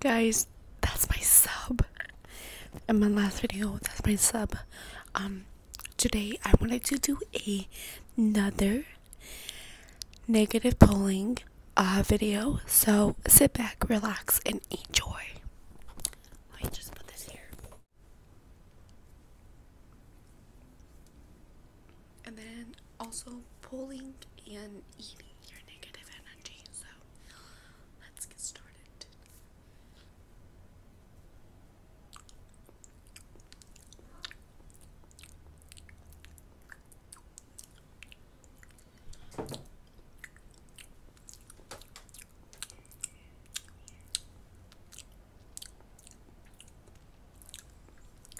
guys that's my sub in my last video that's my sub um today i wanted to do a, another negative polling uh video so sit back relax and enjoy let just put this here and then also pulling and eating your negative energy. So let's get started.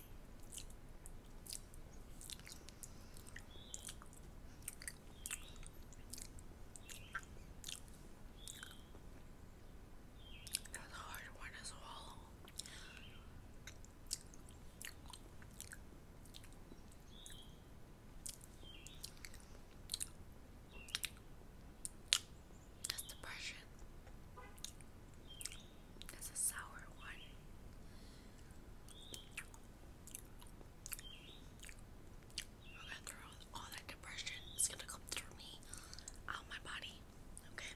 That's a hard one to swallow. That's depression. It's a sour one. We're gonna throw all that depression. It's gonna come through me, out my body. Okay.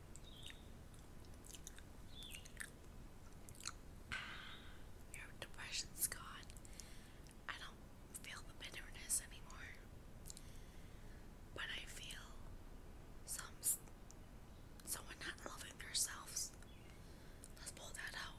Your depression's gone. I don't feel the bitterness anymore. But I feel some someone not loving themselves. Let's pull that out.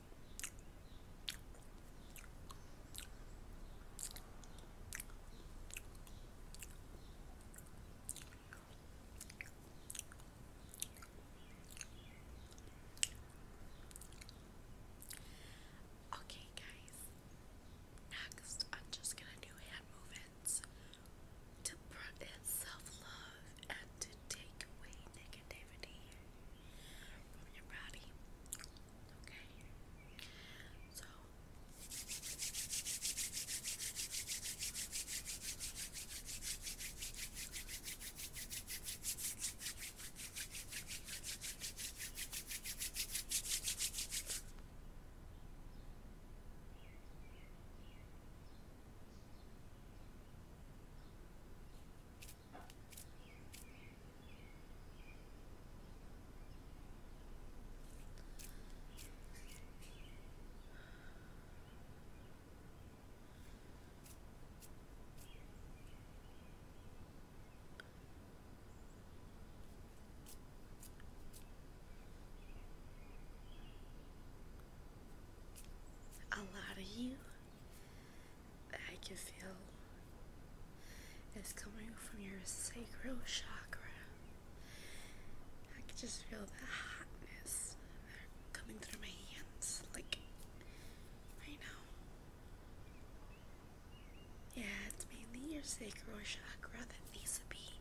Okay, guys, next I'm just gonna do hand movements to practice self love and to take away negativity from your body. Okay? So. A lot of you I can feel it's coming from your sacral chakra. I can just feel the hotness coming through my hands, like right now. Yeah, it's mainly your sacral chakra that needs to be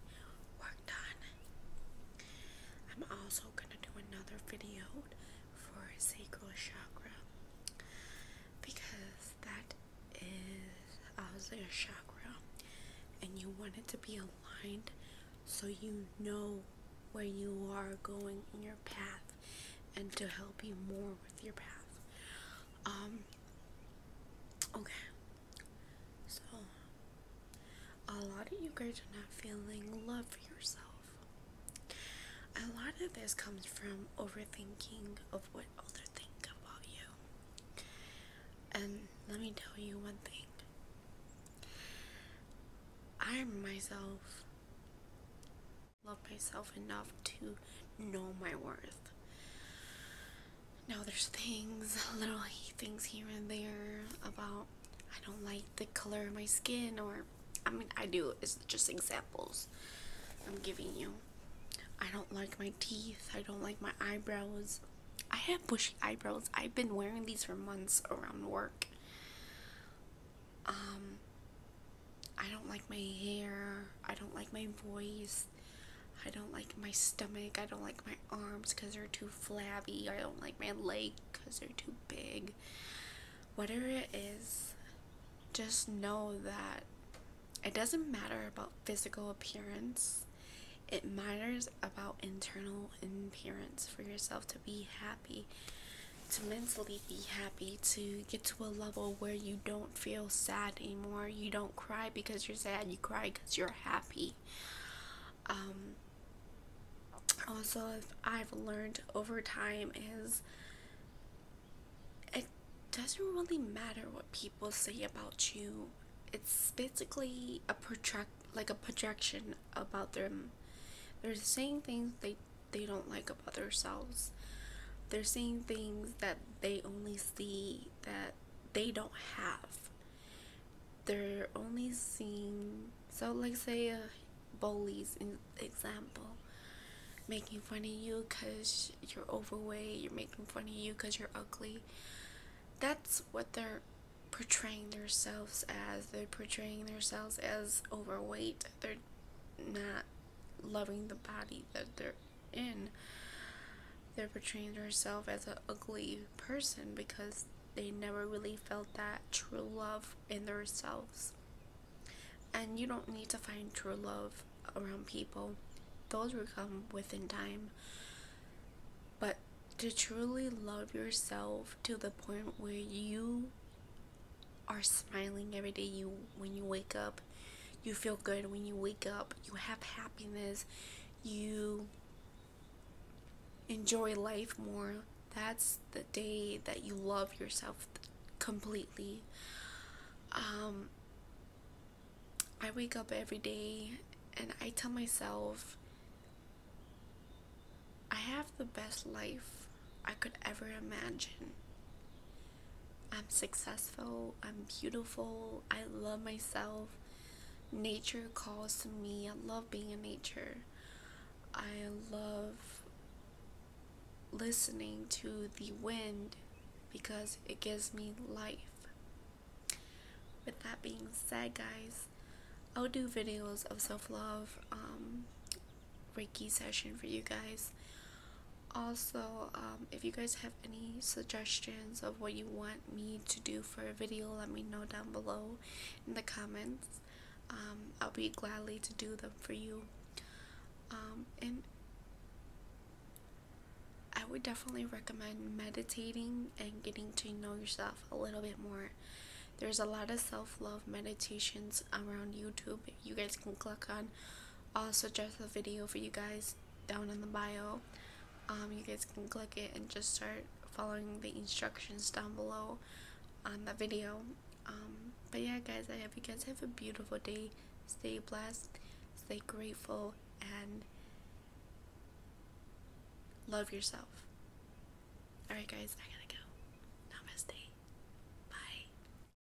worked on. I'm also gonna do another video for a sacral chakra because that is also a chakra and you want it to be aligned so you know where you are going in your path and to help you more with your path. Um okay. So a lot of you guys are not feeling love for yourself. A lot of this comes from overthinking of what others think about you. And um, let me tell you one thing. I myself love myself enough to know my worth. Now there's things, little things here and there about I don't like the color of my skin, or I mean, I do, it's just examples I'm giving you. I don't like my teeth, I don't like my eyebrows. I have bushy eyebrows, I've been wearing these for months around work. Um, I don't like my hair, I don't like my voice, I don't like my stomach, I don't like my arms because they're too flabby, I don't like my legs because they're too big. Whatever it is, just know that it doesn't matter about physical appearance. It matters about internal appearance for yourself to be happy, to mentally be happy, to get to a level where you don't feel sad anymore. You don't cry because you're sad, you cry because you're happy. Um, also, I've learned over time is it doesn't really matter what people say about you. It's basically a project, like a projection about them. They're saying things they they don't like about themselves. They're saying things that they only see that they don't have they're only seeing so like say a uh, bullies in example making fun of you because you're overweight you're making fun of you because you're ugly that's what they're portraying themselves as they're portraying themselves as overweight they're not loving the body that they're in. They're portraying herself as an ugly person because they never really felt that true love in themselves. And you don't need to find true love around people, those will come within time. But to truly love yourself to the point where you are smiling every day you when you wake up you feel good when you wake up you have happiness you enjoy life more. That's the day that you love yourself completely. Um, I wake up every day and I tell myself I have the best life I could ever imagine. I'm successful, I'm beautiful, I love myself. Nature calls to me. I love being in nature. I love listening to the wind because it gives me life. With that being said, guys, I'll do videos of self love, um, Reiki session for you guys also um, if you guys have any suggestions of what you want me to do for a video let me know down below in the comments um, I'll be gladly to do them for you um, and I would definitely recommend meditating and getting to know yourself a little bit more there's a lot of self-love meditations around YouTube you guys can click on I'll suggest a video for you guys down in the bio. Um, you guys can click it and just start following the instructions down below on the video. Um, but yeah, guys, I hope you guys have a beautiful day. Stay blessed, stay grateful, and love yourself. Alright, guys, I gotta go. Namaste. Bye.